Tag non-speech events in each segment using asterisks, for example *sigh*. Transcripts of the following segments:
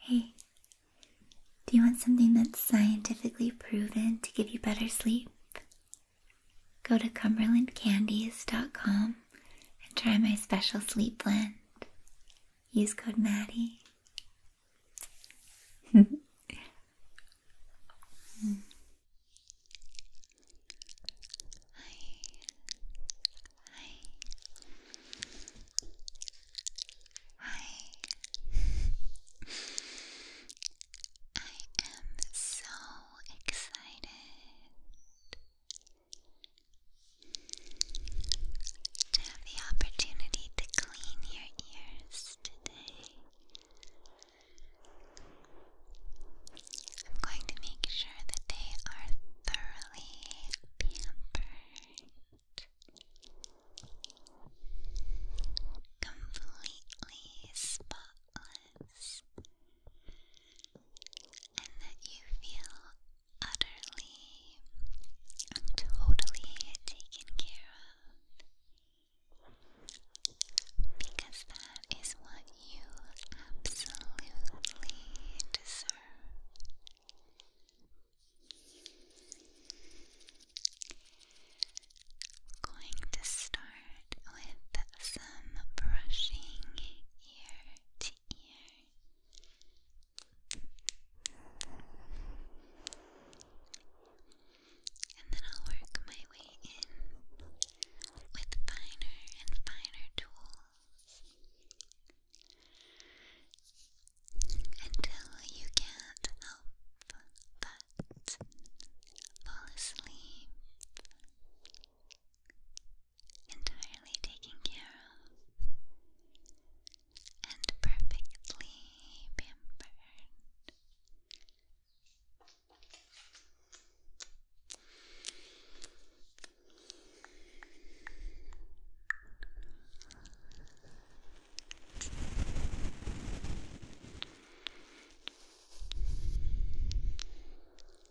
Hey, do you want something that's scientifically proven to give you better sleep? Go to cumberlandcandies.com and try my special sleep blend. Use code Maddie. Hi. Hi. Hi. I am so excited to have the opportunity to clean your ears today. I'm going to make sure that they are thoroughly pampered, completely spotless, and that you feel utterly and totally taken care of because that is what you absolutely deserve. We're going to start with some brushing ear to ear. And then I'll work my way in with finer and finer tools until you can't help but fall asleep entirely taken care of, and perfectly pampered.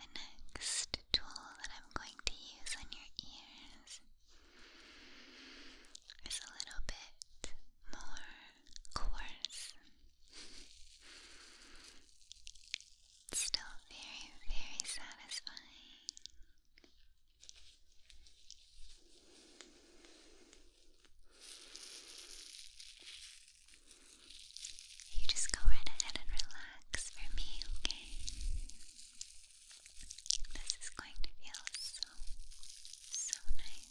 The next tool that I'm going to use on your ears is a little bit more coarse. It's still very, very satisfying. You just go right ahead and relax for me, okay? This is going to feel so, so nice.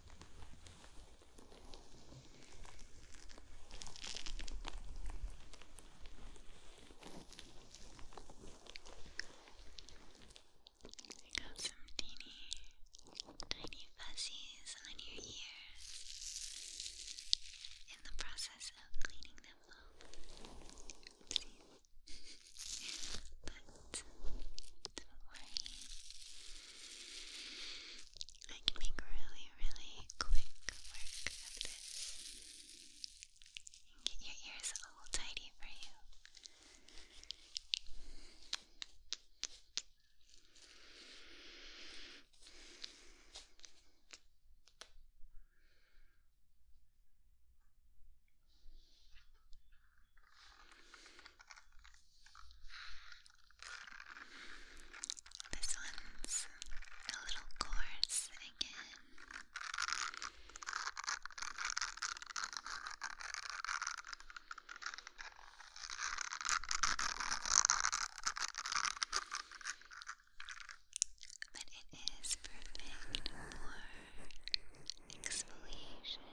You got some teeny, tiny fuzzies on your ears in the process of cleaning them up. *laughs* but do I can make really, really quick work of this. get your ears all tidy for you. This one's a little coarse again. But it is perfect for exfoliation.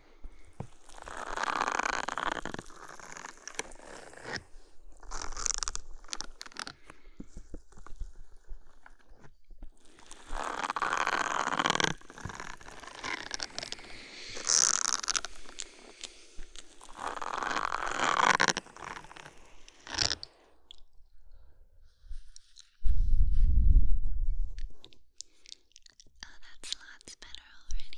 Oh, that's lots better already.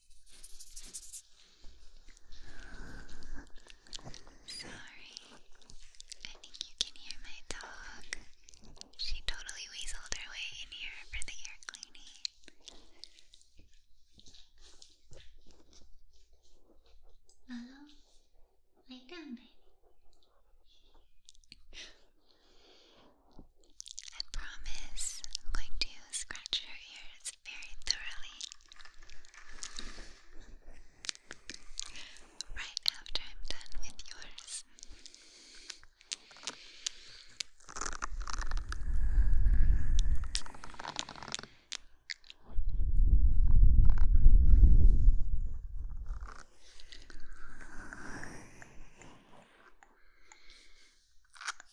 Sorry, I think you can hear my dog. She totally weaseled her way in here for the air cleaning. Hello? Lay down, baby. I promise I'm going to scratch her ears this very thoroughly right after I'm done with yours.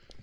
The fairy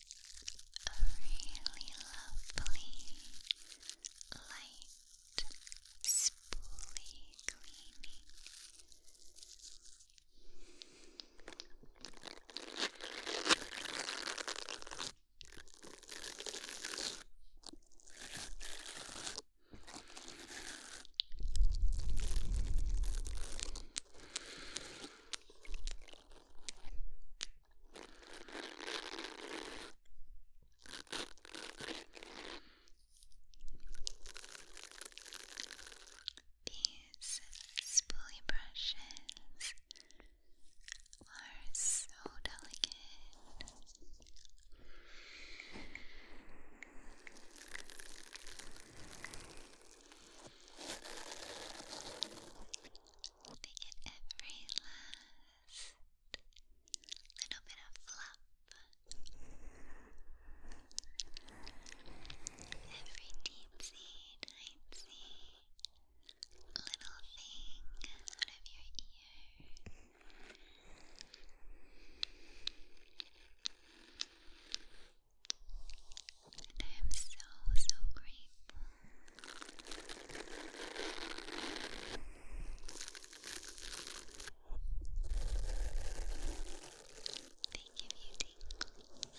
a really lovely light spoolie cleaning. These spoolie brushes are so delicate. They get every last little bit of fluff. Every deep seed, tiny little thing out of your ear. And I am so, so grateful. They give you tingles.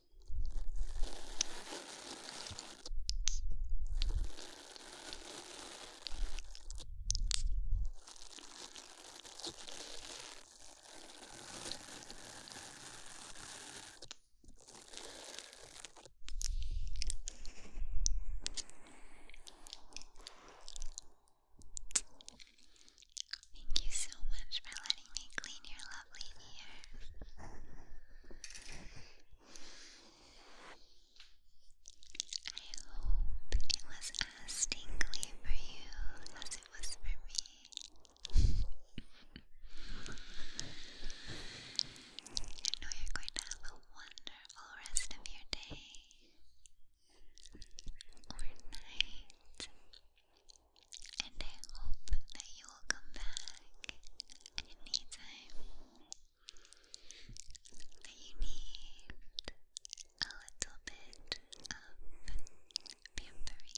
Thank you so much for letting me clean your lovely ears. I hope it was as stingy for you as it was for me. I know you're going to have a wonderful rest of your day or night, and I hope that you welcome back anytime that you need a little bit of pampering.